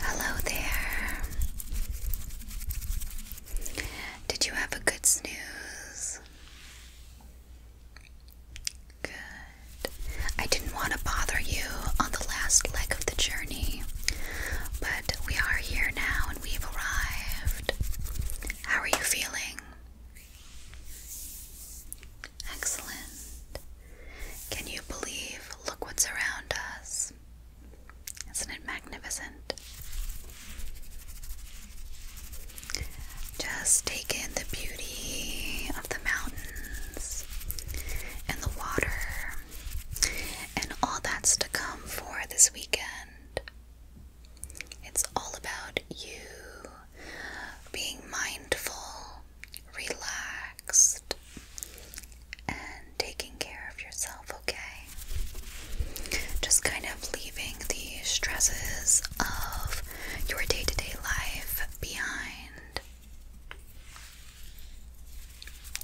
Hello there. Did you have a good snooze? Good. I didn't want to bother you on the last leg of the journey, but we are here now and we've arrived. How are you feeling? Excellent. Can you believe? Look what's around us. Isn't it magnificent? Just take in the beauty of the mountains and the water and all that's to come for this weekend. It's all about you being mindful relaxed, and taking care of yourself, okay? Just kind of leaving the stresses of your day to day life behind.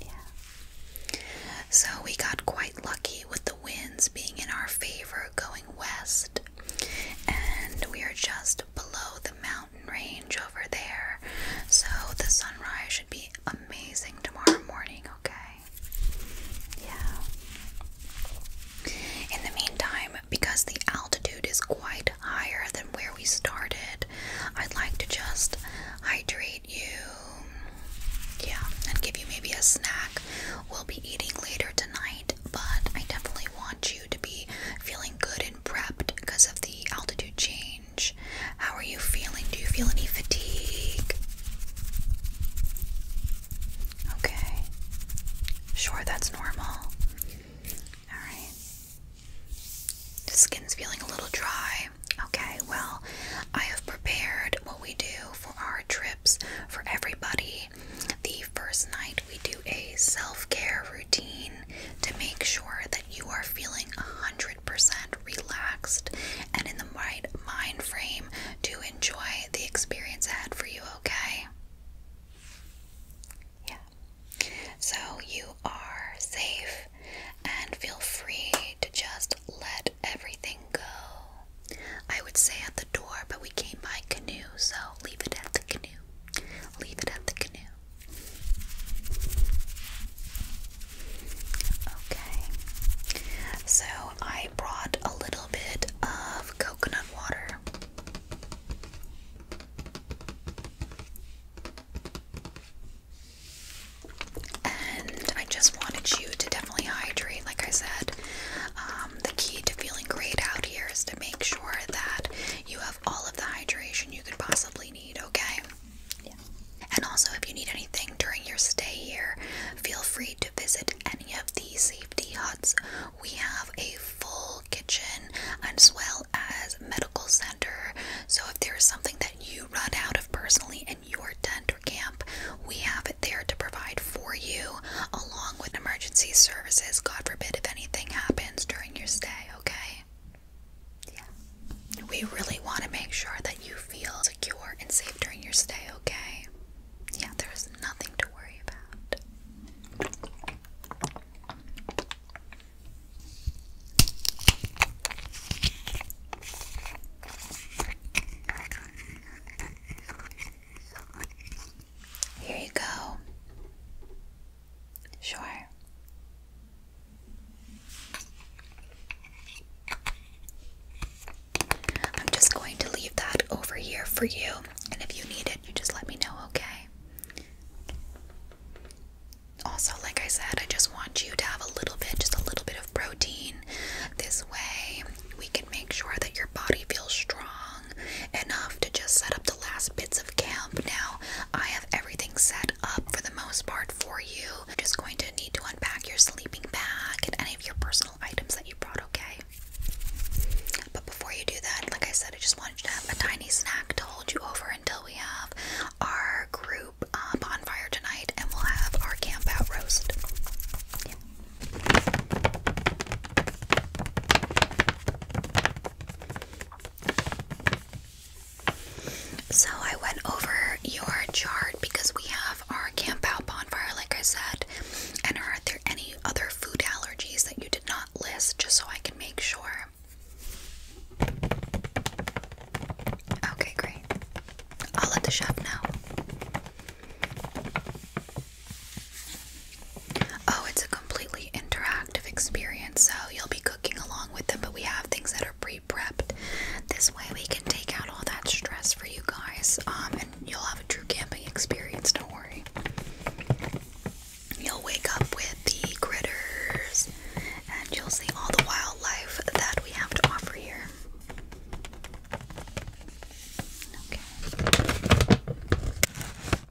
Yeah. So we got quite lucky with the winds being in our favor going west, and we are just below the mountain range over there. So the sunrise should be amazing tomorrow morning, okay? Yeah. In the meantime, because the altitude is quite higher than where we started, I'd like to just hydrate you. Yeah, and give you maybe a snack. We'll be eating later tonight, but I definitely want you to be feeling good prepped because of the altitude change. How are you feeling? Do you feel any fatigue? Okay. Sure, that's normal. Alright. The skin's feeling a little dry. Okay, well, I have prepared what we do for our trips for everybody. The first night we do a self care routine to make sure that you are feeling 100% relaxed and in the right mind frame to enjoy the experience ahead for you, okay? Yeah. So you are safe and feel free to just let everything go. I would say at the door, but we came by canoe, so leave it at the canoe. Leave it at the canoe. Okay. So I brought a little bit of coconut water. And I just wanted you to definitely hydrate, like I said. Um, the key to feeling great out here is to make sure that you have all of the hydration you could possibly need, okay? And also, if you need anything during your stay here, feel free to visit any of the safety huts. We have a full kitchen as well as medical center. So if there is something that you run out of personally in your tent or camp, we have it there to provide for you along with emergency services, God forbid if anything happens during your stay, okay? Yeah. We really want to make sure that you feel secure and safe during your stay, okay? Yeah, there's nothing to worry about. Here you go. Sure. I'm just going to leave that over here for you, and if you need it, you just let me know, okay? Also, like I said, I just want you to have a little bit, just a little bit of protein. This way, we can make sure that your body feels strong enough to just set up the last bits of camp now. I have everything set up for the most part for you. just going to need to unpack your sleeping bag and any of your personal items that you brought, okay? But before you do that, like I said, I just wanted you to have a tiny snack to hold you over until we have our group uh, bonfire tonight and we'll have our camp out roast. So I went over your chart because we have our camp out bonfire, like I said. And are there any other food allergies that you did not list just so I can make sure? Okay, great. I'll let the chef know. Oh, it's a completely interactive experience, so you'll be cooking along with them, but we have things that are pre-prepped. This way we can take out all that stress for you guys, um, and you'll have a true camping experience, don't worry. You'll wake up with the critters, and you'll see all the wildlife that we have to offer here. Okay.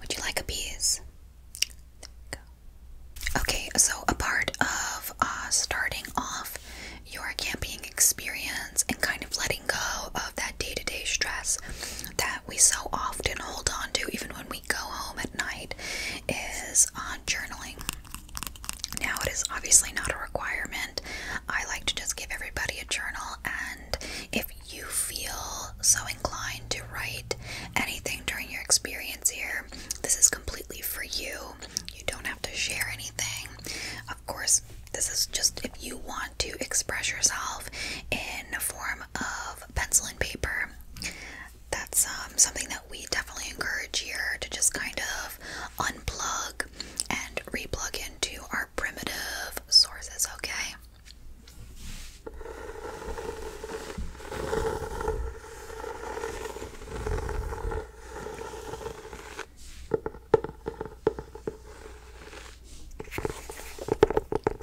Would you like a piece? Okay, so a part of uh, starting off your camping experience and kind of letting go of that day to day stress that we so often hold on to, even when we go home at night, is uh, journaling. Now, it is obviously not a requirement. I like to just give everybody a journal and if you feel so inclined to write anything during your experience here, this is completely for you. You don't have to share anything. Of course, this is just if you want to express yourself in a form of pencil and paper. That's um, something that we definitely encourage here to just kind of unplug and replug into our primitive sources, okay?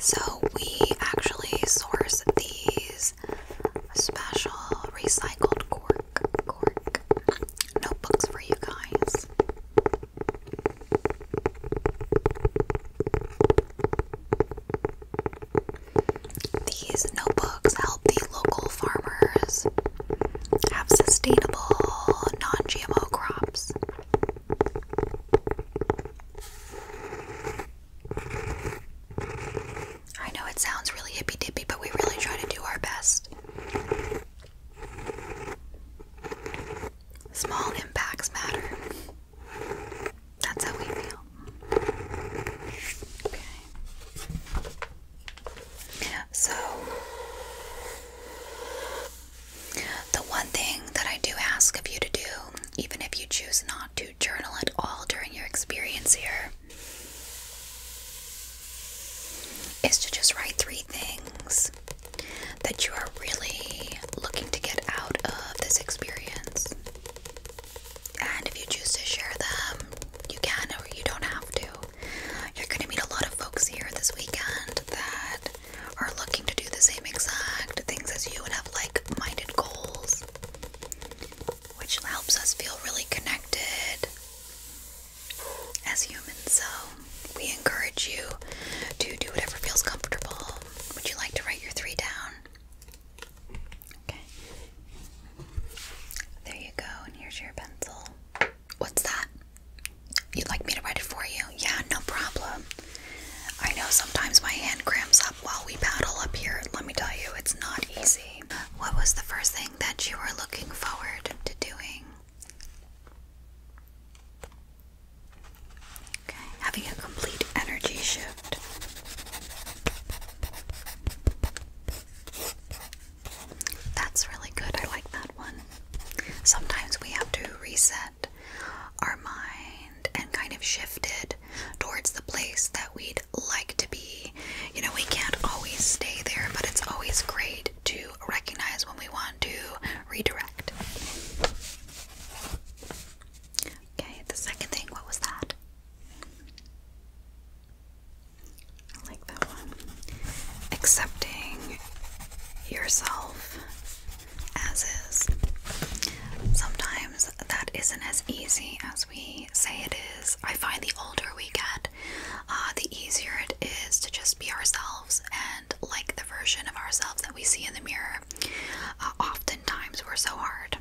So, we actually source these special recycled cork notebooks for you guys. These notebooks help the local farmers have sustainable, non GMO crops. I know it sounds really hippy dippy, but we really try to do our best. Small impacts matter. That's how we feel. Okay. So, the one thing that I do ask of you to do, even if you choose not to journal at all during your experience here, is to just write three things that you are really looking to get out of this experience. And if you choose to share them, you can or you don't have to. You're going to meet a lot of folks here this weekend that are looking to do the same exact things as you and have like minded goals, which helps us feel really connected as humans. So, we encourage you to do whatever feels comfortable. Would you like to write your three down? Okay. There you go, and here's your pencil. What's that? You'd like me to write it for you? Yeah, no problem. I know sometimes my hand cramps up while we paddle up here. Let me tell you, it's not easy. What was the first thing that you were looking forward to doing? Okay, having a complete energy shift. That's really good. I like that one. Sometimes we have to reset our mind and kind of shift it towards the place that we'd like to be. You know, we can't always stay there, but it's always great to recognize when we want to redirect. Okay, the second thing, what was that? I like that one. Accepting yourself as is. Sometimes that isn't as easy as we say it is. I find the older we get, uh, the easier it is to just be ourselves like the version of ourselves that we see in the mirror, uh, oftentimes we're so hard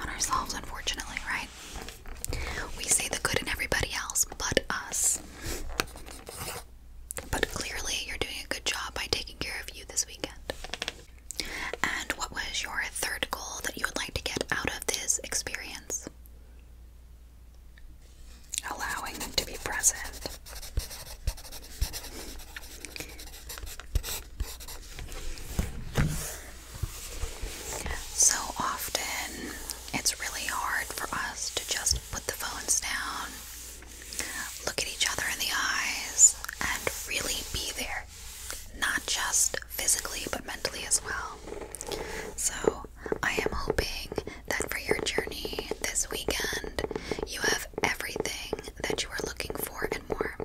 on ourselves, unfortunately, right? We see the good in everybody else but us. But clearly, you're doing a good job by taking care of you this weekend. And what was your third goal that you would like to get out of this experience? Allowing them to be present. So often it's really hard for us to just put the phones down, look at each other in the eyes, and really be there. Not just physically, but mentally as well. So I am hoping that for your journey this weekend, you have everything that you are looking for and more.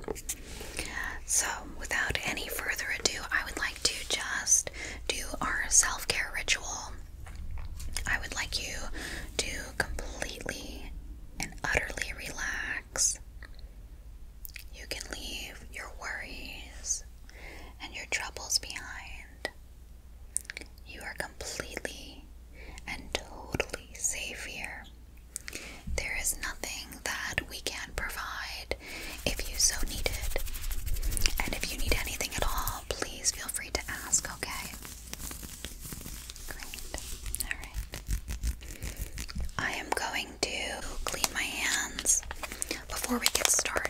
So, without any further ado, I would like to just do our self care ritual. I would like you to completely and utterly relax. You can leave your worries and your troubles behind. You are completely and totally safe here. There is nothing that we can't provide if you so need it. And if you need anything at all, please feel free to ask, okay? Great. Alright. I am going to clean my hands before we get started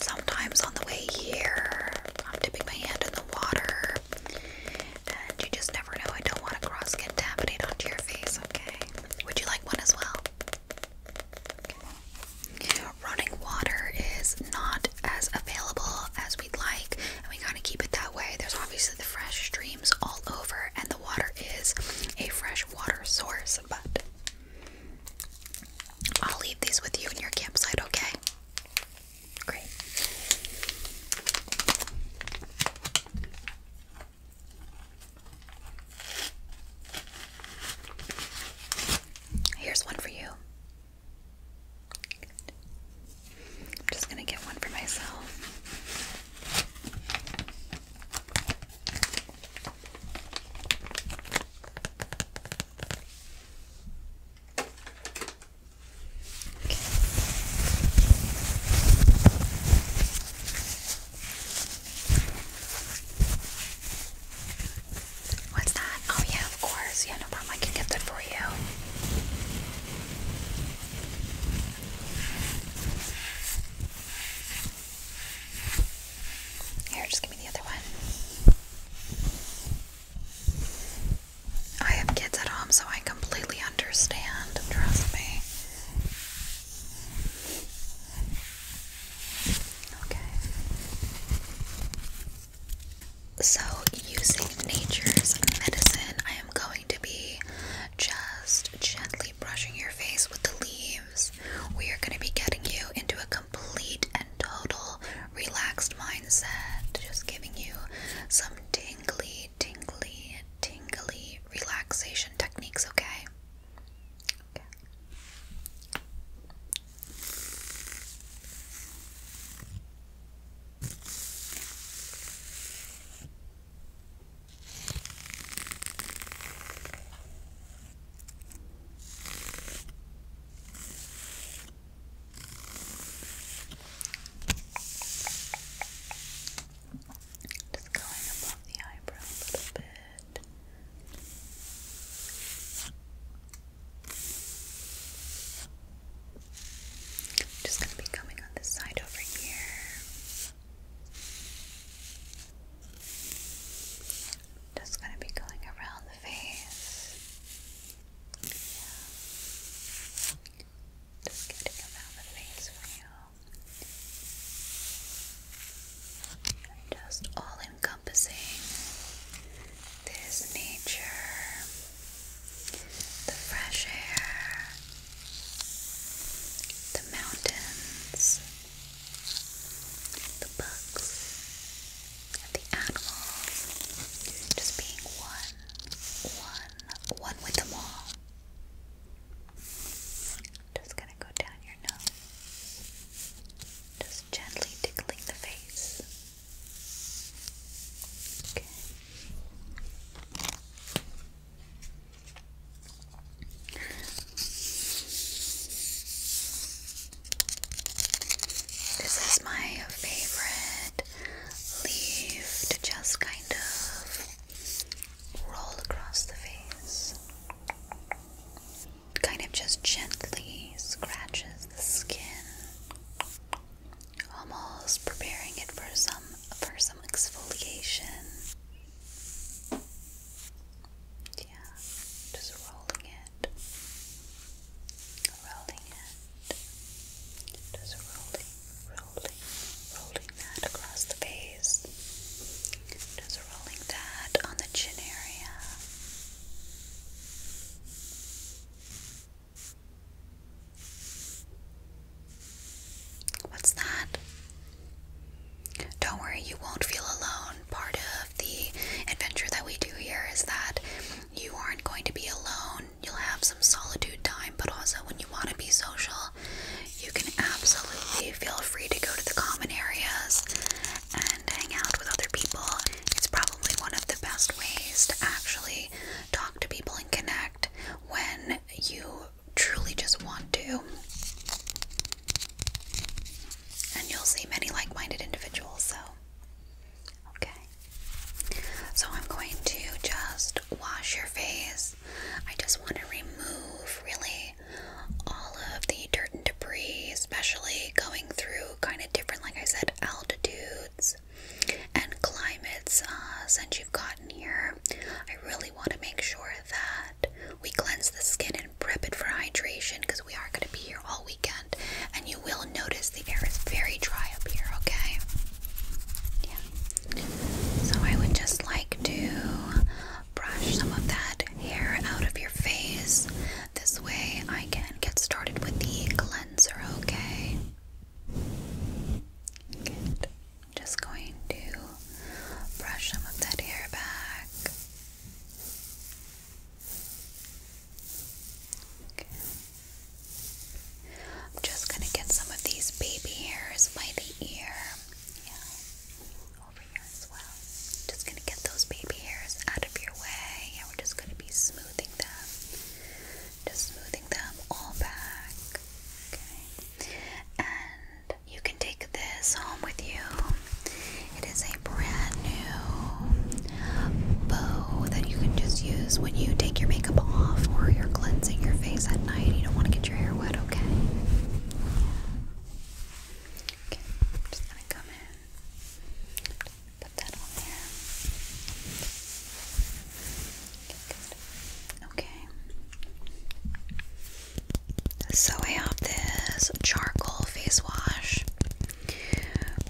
sometimes on the way here, I'm dipping my hand in the water, and you just never know. I don't want to cross contaminate onto your face, okay? Would you like one as well? Running water is not as available as we'd like, and we gotta keep it that way. There's obviously the fresh streams all over, and the water is a fresh water source, but I'll leave these with you in your campsite, okay? Great. Here's one for you. I'm just going to get one for myself. What's that? Oh, yeah, of course. Yeah, no problem. I can get that for you. Here, just give me the other one. I have kids at home, so I completely understand. Trust me. Okay. So, using nature's medicine, I am going to be just gently brushing your face with the leaves. We are going to be getting you into a complete and total relaxed mindset, just giving you some tingly, tingly, tingly relaxation techniques, okay? Just going above the eyebrow a little bit. just going to be coming on this side over here. Just going to be going around the face. Just getting them the face for you. just all encompassing this nature, the fresh air, the mountains, the bugs, and the animals, just being one, one, one with them all. Just gonna go down your nose, just gently tickling the face. Okay. This is my favorite leaf to just kind of roll across the face. Kind of just gently scratches the skin, almost preparing it for some for some exfoliation. Yeah, just rolling it rolling it, just rolling, rolling, rolling that across the face, just rolling that on the chin area. What's that? Don't worry, you won't feel alone down. Part of the adventure that we do here is that you aren't going to be alone. You'll have some solitude time, but also when you want to be social, you can absolutely feel free to go to the common areas and hang out with other people. It's probably one of the best ways to actually talk to people and connect when you truly just want to. And you'll see many like minded individuals, so Okay. So I'm going to just wash your face. I just want to remove really all of the dirt and debris, especially going through kind of different, like I said, altitudes and climates uh, since you've gotten here. I really want to make sure that we cleanse the skin and prep it for hydration because we are going to be here all weekend and you will notice the air is very dry up here, okay? Yeah. So I would just like to brush some of that hair out of your face. This way I can get started with the cleanser, okay? Just going to brush some of that hair back. I'm just going to get some of these baby hairs by the ear. Yeah. Over here as well. Just going to get those baby hairs out of your way. and we're just going to be smoothing them. Just smoothing them all back. Okay. And you can take this home with you. It is a brand new bow that you can just use when you take your makeup off or you're cleansing your face at night. You don't want to get your hair wet, okay? Okay, just gonna come in. Put that on there. Okay, good. Okay. So I have this charcoal face wash.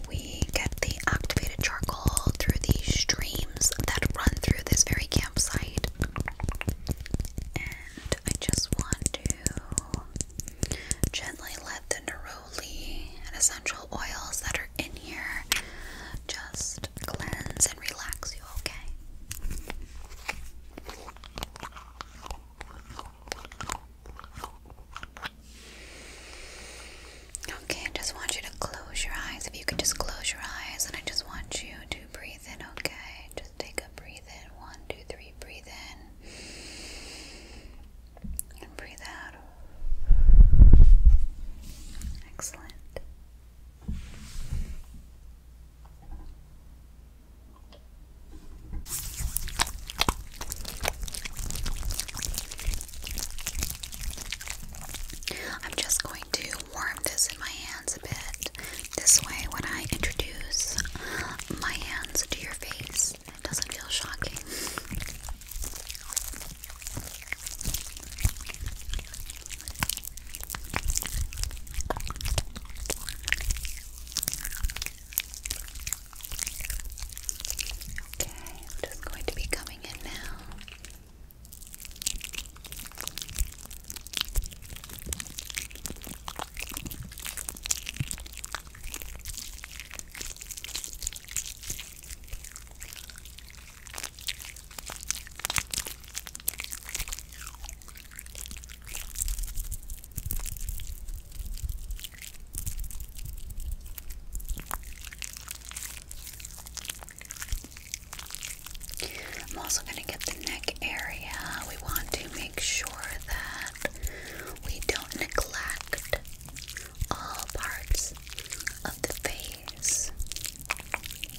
We get the activated charcoal through the streams that run through this very campsite. And I just want to gently let the neroli and essential oils that are in here just cleanse and relax you, okay? Okay, I just want you to close your eyes. If you could just close your eyes, and I just want you to breathe in, okay? Just take a breathe in. One, two, three, breathe in. And breathe out. Excellent. I'm just going to warm this in my hands a bit. This way, when I introduce my hands to your face, it doesn't feel shocking. Okay, I'm just going to be coming in now. I'm also going to get the neck area. We want to make sure that we don't neglect all parts of the face,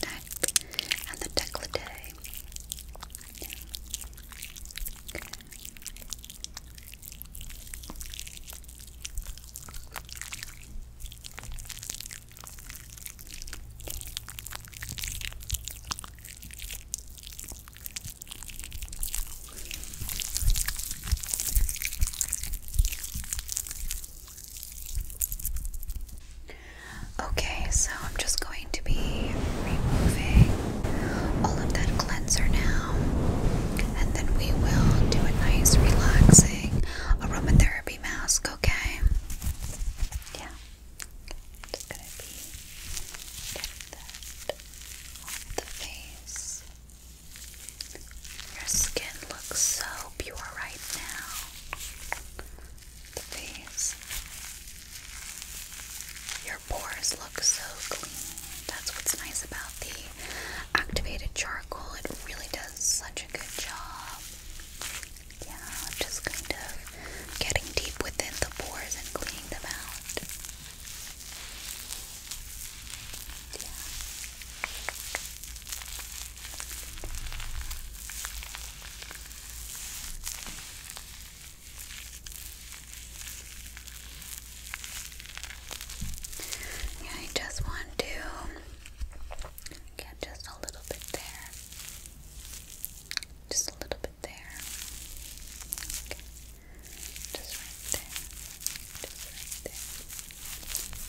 neck, and the décolleté. Okay, so I'm just going to be removing all of that cleanser now. And then we will do a nice relaxing aromatherapy mask, okay? Yeah. Just gonna be the face. Your skin looks so pure right now. The face your pores look so clean. That's what's nice about the activated charcoal. It really does such a good job. Yeah, just kind of getting deep within the pores and cleaning them out. Yeah. I just want to get just a little bit there. Just a little bit there. Just right there. Just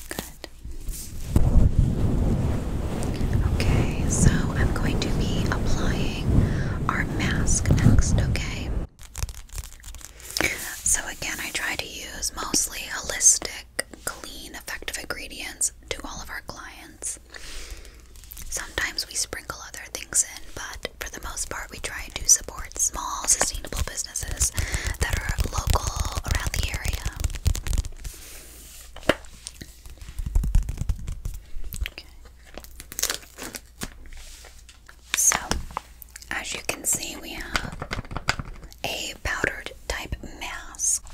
right there. Good. Okay, so I'm going to be applying our mask next, okay? So, again, I try to use mostly holistic, clean, effective ingredients to all of our clients. Sometimes we sprinkle other things in, but for the most part, we try to support small, sustainable businesses that are local around the area. So, as you can see, we have a powdered type mask,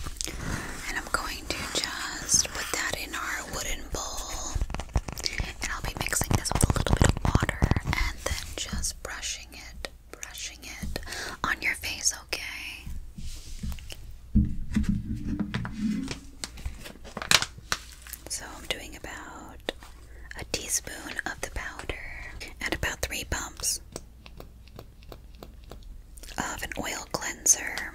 and I'm going to just put that in our wooden bowl, and I'll be mixing this with a little bit of water and then just brushing it, brushing it on your face, okay? So I'm doing about a teaspoon of the powder and about three pumps of an oil cleanser.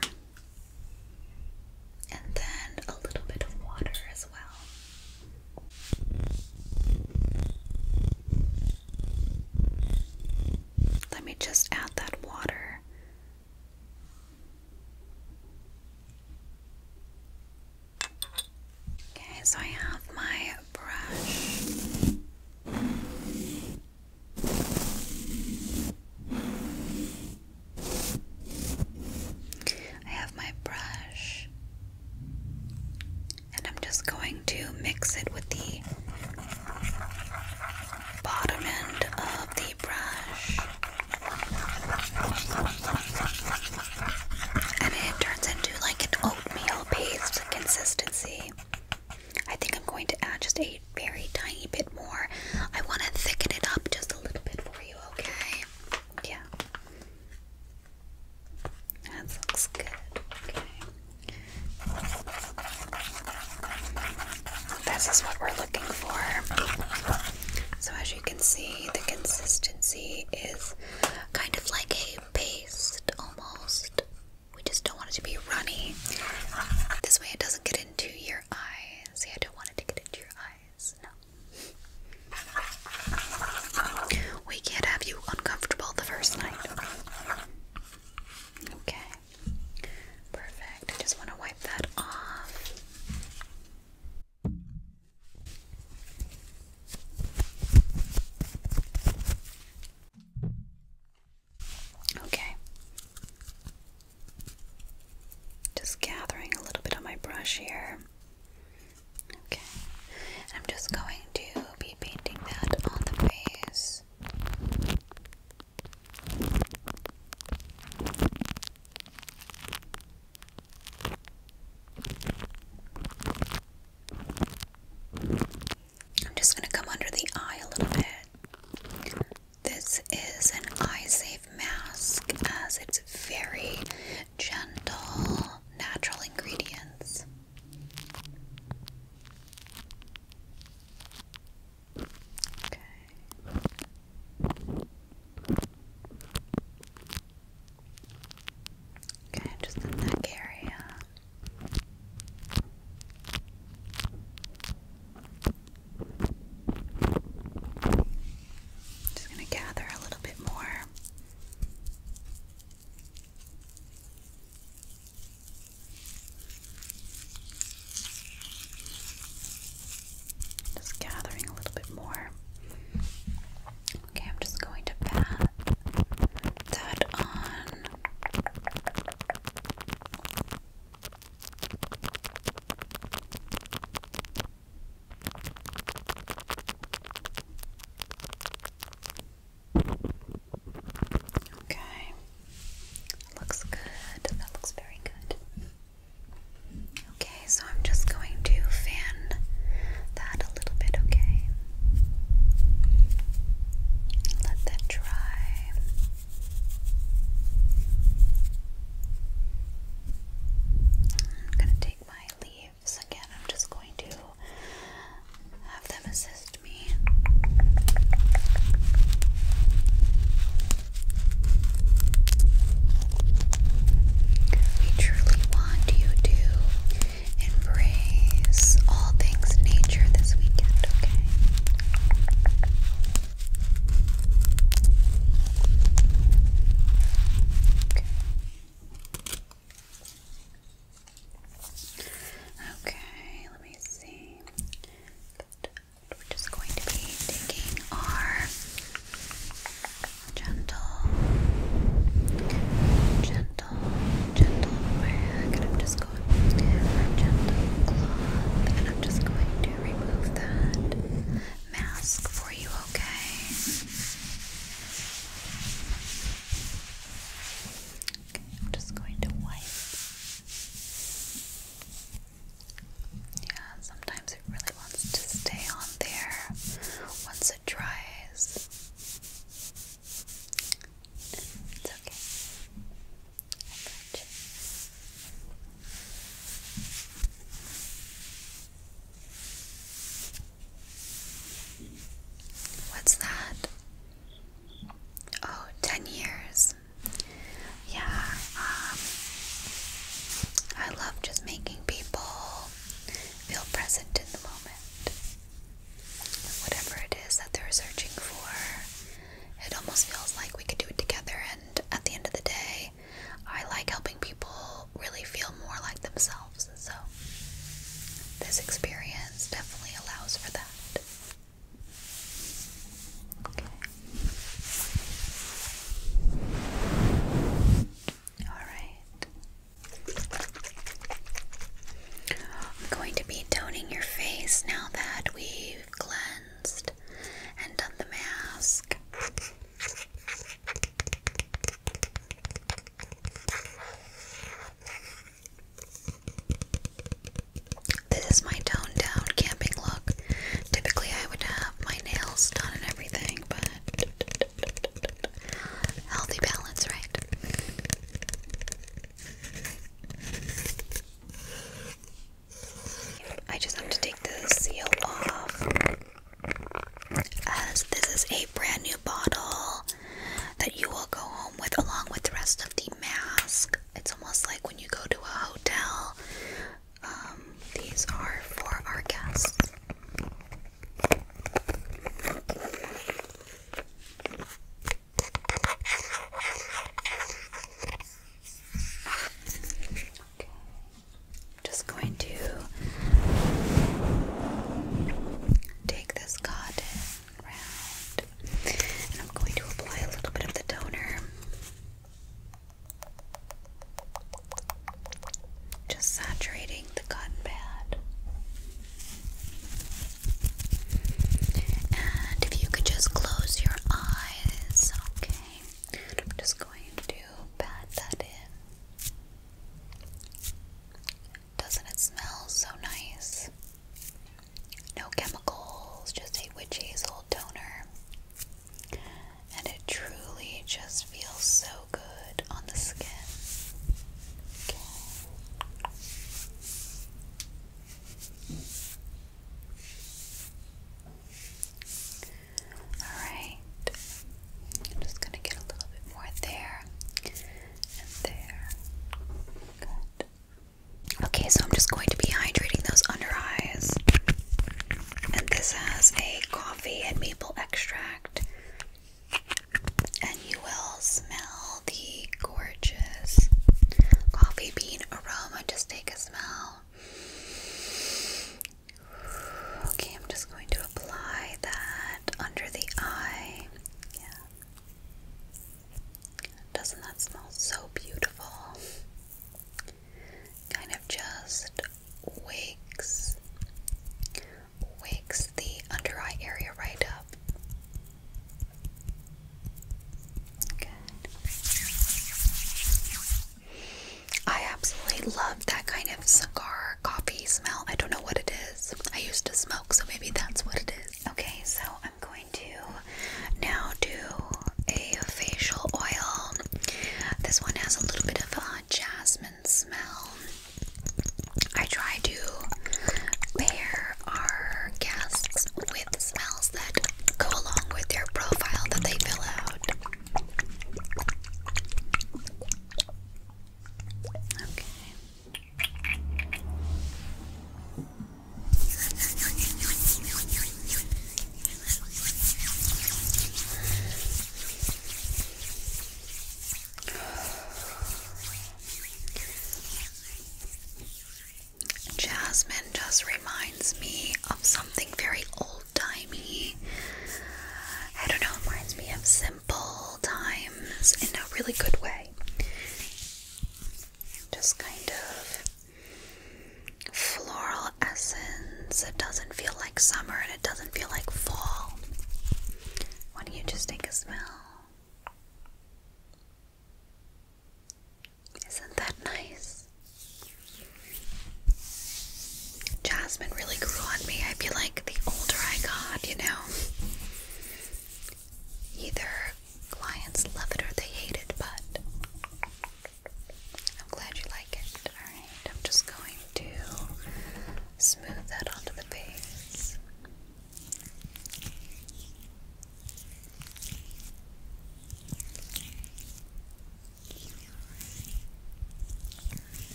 And then a little bit of water as well. Let me just add that water Okay, so I have my brush. I have my brush, and I'm just going to mix it with the bottom end of the brush. And it turns into like an oatmeal paste consistency. I think I'm going to add just a very tiny bit more. I want to thicken it up just a little bit for you, okay? Yeah. That looks good. Okay. This is what we're looking for. So, as you can see the consistency is kind of like a paste almost. We just don't want it to be runny. This way it doesn't get into your eyes. See, I don't want it to get into your eyes. No. We can't have you uncomfortable the first night. Okay. Perfect. I just want to wipe that off. Okay. Just gathering a little bit on my brush here. Okay. I'm just going to be painting that on the face. I'm just going to come under the eye a little bit. This is an eye safe mask as it's very gentle, natural ingredients. Okay. Okay, just the neck area. Just going to gather a little bit more. Just gathering a little bit more. Okay, I'm just going to pat that on. Okay. Looks good. That looks very good. Okay, so I'm just going to fan that a little bit, okay? Let that dry. I'm going to take my leaves again. I'm just going to have them assist me. We truly want you to embrace all things nature this weekend, okay? Okay, let me see. We're just going to be taking our Gentle, gentle, gentle and I'm just going gentle cloth, and I'm just going to remove that mask for you, okay? Okay, I'm just going to wipe. Yeah, sometimes it really wants to stay on there once it dries. It's okay. What's that? Oh, years. Yeah, um, I love just making people feel present in the moment. Whatever it is that they're searching for, it almost feels like we could do it together. And at the end of the day, I like helping people really feel more like themselves. So, this experience definitely allows for that. Alright. I'm going to be toning your face now that we've cleansed and done the mask. This is my toned down camping look. Typically, I would have my nails done and everything healthy balance, right? I just have to take the seal off as this is a brand new bottle that you will go home with along with the rest of the mask. It's almost like when you go to a hotel um, these are for our guests. Okay. Just going to take this cotton round and I'm going to apply a little bit of the toner just saturating the cotton pad. And if you could just close your eyes, okay? I'm just going to pat that in. Doesn't it smell so nice? No chemicals, just a witch hazel toner and it truly just feels so good on the skin. Okay. Alright, I'm just going to get a little bit more there and there. Good. Okay, so I'm just going to be hydrating those under eyes. And this has a coffee and maple extract. And you will smell the gorgeous coffee bean aroma. Just take a smell. Okay, I'm just going to apply that under the eye. Yeah. Doesn't that smell so beautiful? kind of just wakes wakes the under eye area right up. Good. I absolutely love that kind of cigar coffee smell. I don't know what it is. I used to smoke, so maybe that's what it is. Okay, so I'm going to now do a facial oil. This one has a little bit of a jasmine smell. I try to pair our guests with smells that go along with their profile that they fill out. Jasmine just reminds me of something very old-timey. I don't know, it reminds me of simple times in a really good way. Just kind of floral essence. It doesn't feel like summer and it doesn't feel like fall. Why don't you just take a smell? Isn't that nice? Jasmine really grew on me. I feel like the older I got, you know. Either clients love it or they hate but I'm glad you like it. I'm just going to smooth that onto the face. I'm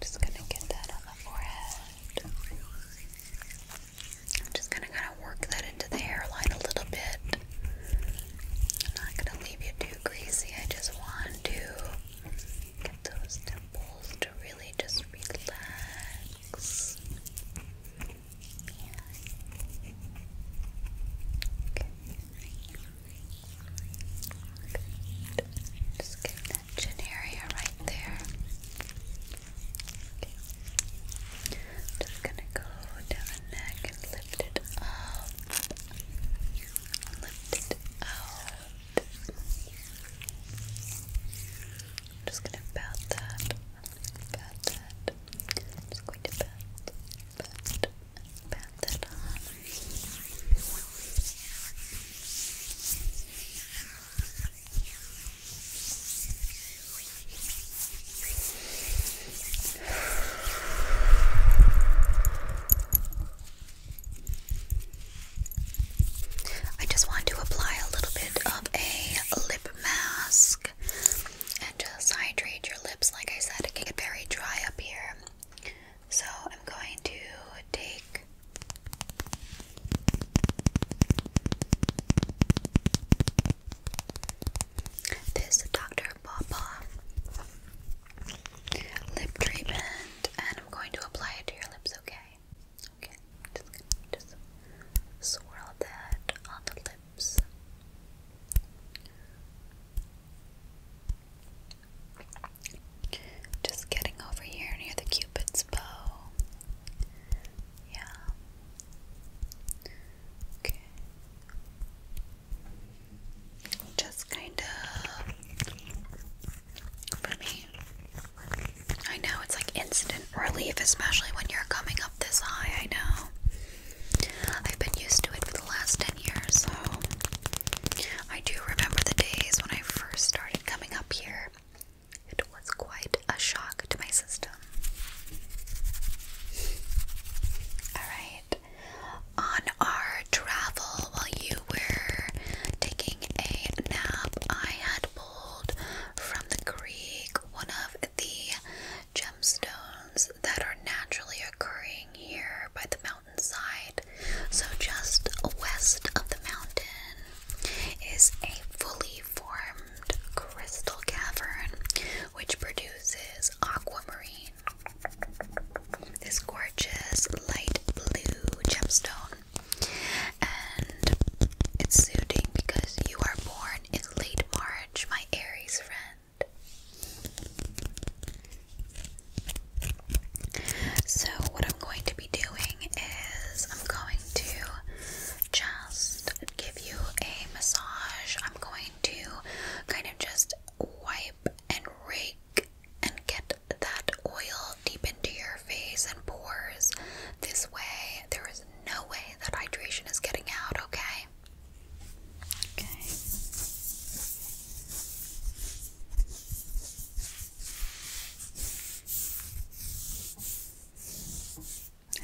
just going to get that on the forehead. I'm just going to kind of work that into the hairline a little bit. I'm not going to leave you too too I just want to get those temples to really just relax. Just get that chin area right there. Just gonna go down the neck and lift it up. Lift it I'm just gonna pat that. Pat that. just going to pat, pat, pat that on. I just want to apply a little bit of a lip mask and just hydrate your lips. Like I said, it can get very dry up here. So I'm going to take this Dr. Pawpaw lip treatment, and I'm going to apply it to your lips, okay? Okay, just just swirl that on the lips. Just getting over here near the cupid's bow. Yeah. Just kind of for me. I know it's like instant relief, especially when you're coming up this high. I know. I've been used to it for the last 10 years, so I do remember the days when I first started coming up here. It was quite a shock to my system. Alright, on our travel while you were taking a nap, I had pulled from the creek one of the gemstones that are naturally occurring here by the mountainside. So, just west of the mountain is a fully formed crystal cavern which produces aquamarine this gorgeous light blue gemstone, and it's suiting because you are born in late March, my Aries friend. So, what I'm going to be doing is I'm going to just give you a massage. I'm going to kind of just wipe and rake and get that oil deep into your face and pores. This way, there is no way that hydration is getting out, okay? Okay.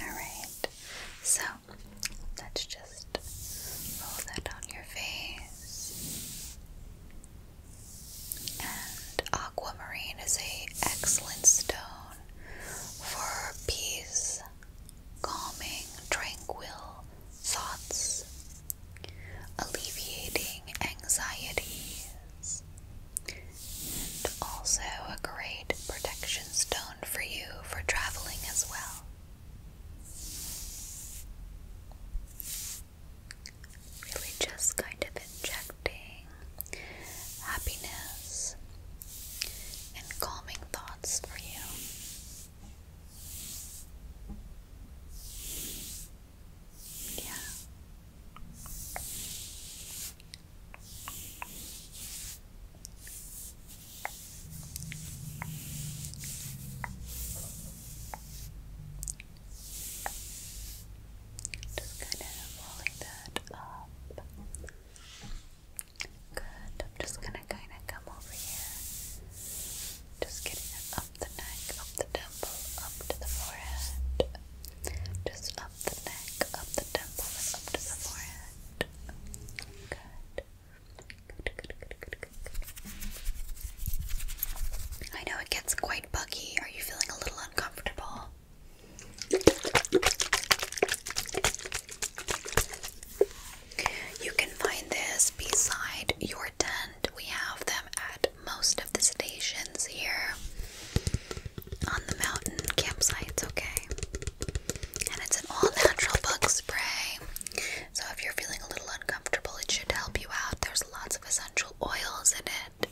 All right. So let's just roll that on your face. And aquamarine is a excellent stone for peace, calming, tranquil thoughts, alleviating anxieties, and also a great protection stone for you for traveling as well. Really, just kind of injecting happiness and calming thoughts for you. Yeah. Just kind of rolling that up. Good. I'm just gonna kind of come over here. Just getting up the neck, up the temple, up to the forehead. Just up the neck, up the temple, up to the forehead. Good. I know it gets quite buggy. Are you feeling a little uncomfortable? You can find this beside your tent. We have them at most of the stations here on the mountain campsites, okay? And it's an all natural bug spray. So if you're feeling a little uncomfortable, it should help you out. There's lots of essential oils in it.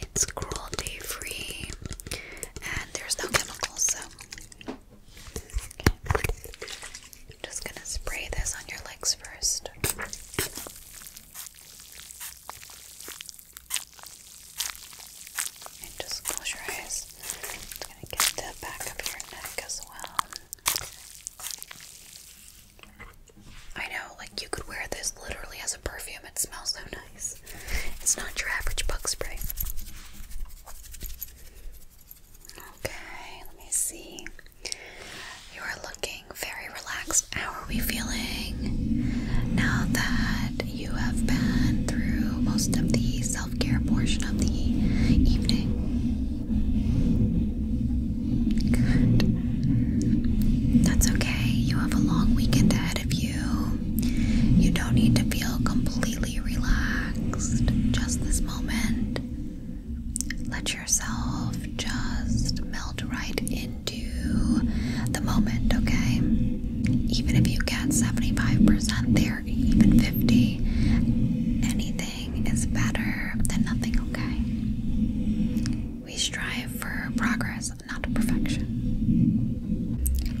It's cruelty free and there's no chemicals, so I'm just gonna spray this on your legs first. And just close your eyes. It's going to get the back of your neck as well. I know, like, you could wear this literally as a perfume. It smells so nice. It's not your average bug spray. Okay, let me see. You are looking very relaxed. How are we feeling now that you have been through most of these self care portion of the evening. Good. That's okay. You have a long weekend ahead of you. You don't need to feel completely relaxed. Just this moment. Let yourself just melt right into the moment, okay? Even if you get 75% there even 50. Anything is better than nothing, okay? We strive for progress, not perfection.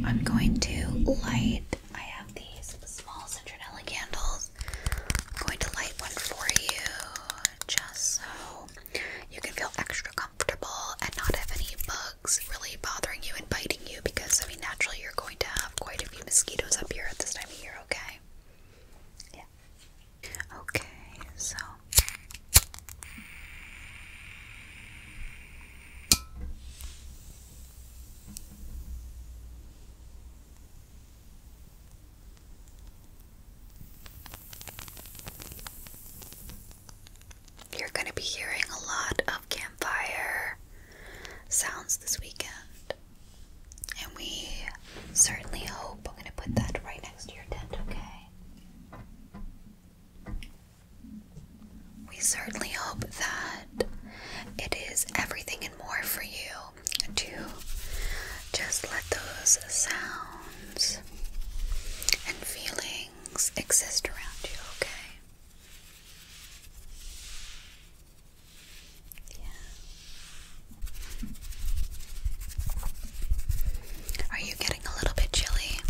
I'm going to light, I have these small citronella candles. I'm going to light one for you just so you can feel extra comfortable and not have any bugs really bothering you and biting you because, I mean, naturally you're going to have quite a few mosquitoes up here at this time of year, okay? Yeah. Okay, so. You're going to be hearing a lot of campfire sounds this weekend. And we certainly hope I'm going to put that right next to your tent, okay? We certainly hope that it is everything and more for you to just let those sounds and feelings exist around you, okay? Are you getting a little bit chilly?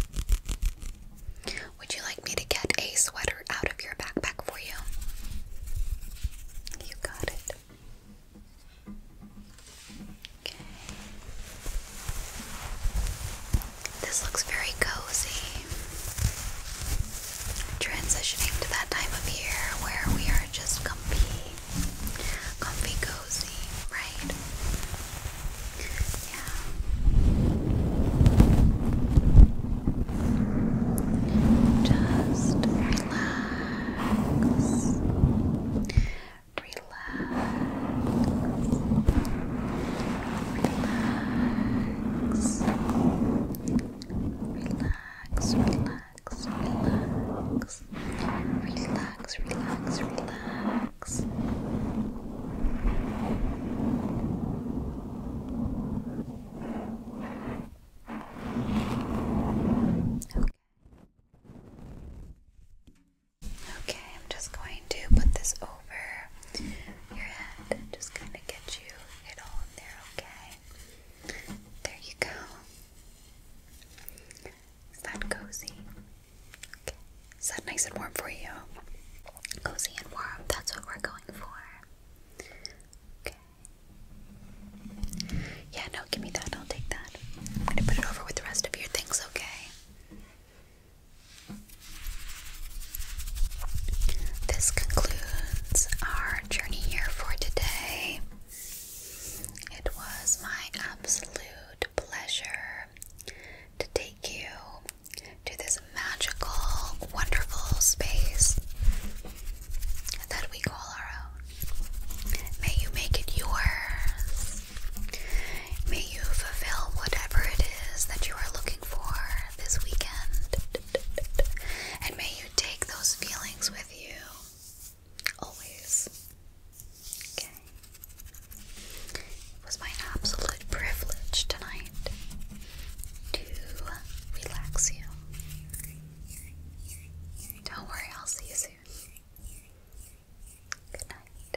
Would you like me to get a sweater out of your backpack for you? You got it. Okay. This looks very cozy. Transitioning to that time of year where we are just comfy, comfy, cozy, right? Yeah. Just relax. Relax relax, relax, relax, relax, relax, relax, relax. Okay. Okay, I'm just going to put this over your head and just kind of get you it all there, okay? There you go. Is that cozy? Is that nice and warm for you? Cozy and warm, that's what we're going for. Okay. Yeah, no, give me that. I'll take that. I'm gonna put it over with the rest of your things, okay? This concludes our journey here for today. It was my absolute pleasure to take you to this magical, wonderful space that we call our own. May you make it yours. May you fulfill whatever it is that you are looking for this weekend. And may you take those feelings with you always. It was my absolute privilege tonight to relax you. Don't worry, I'll see you soon. Good night.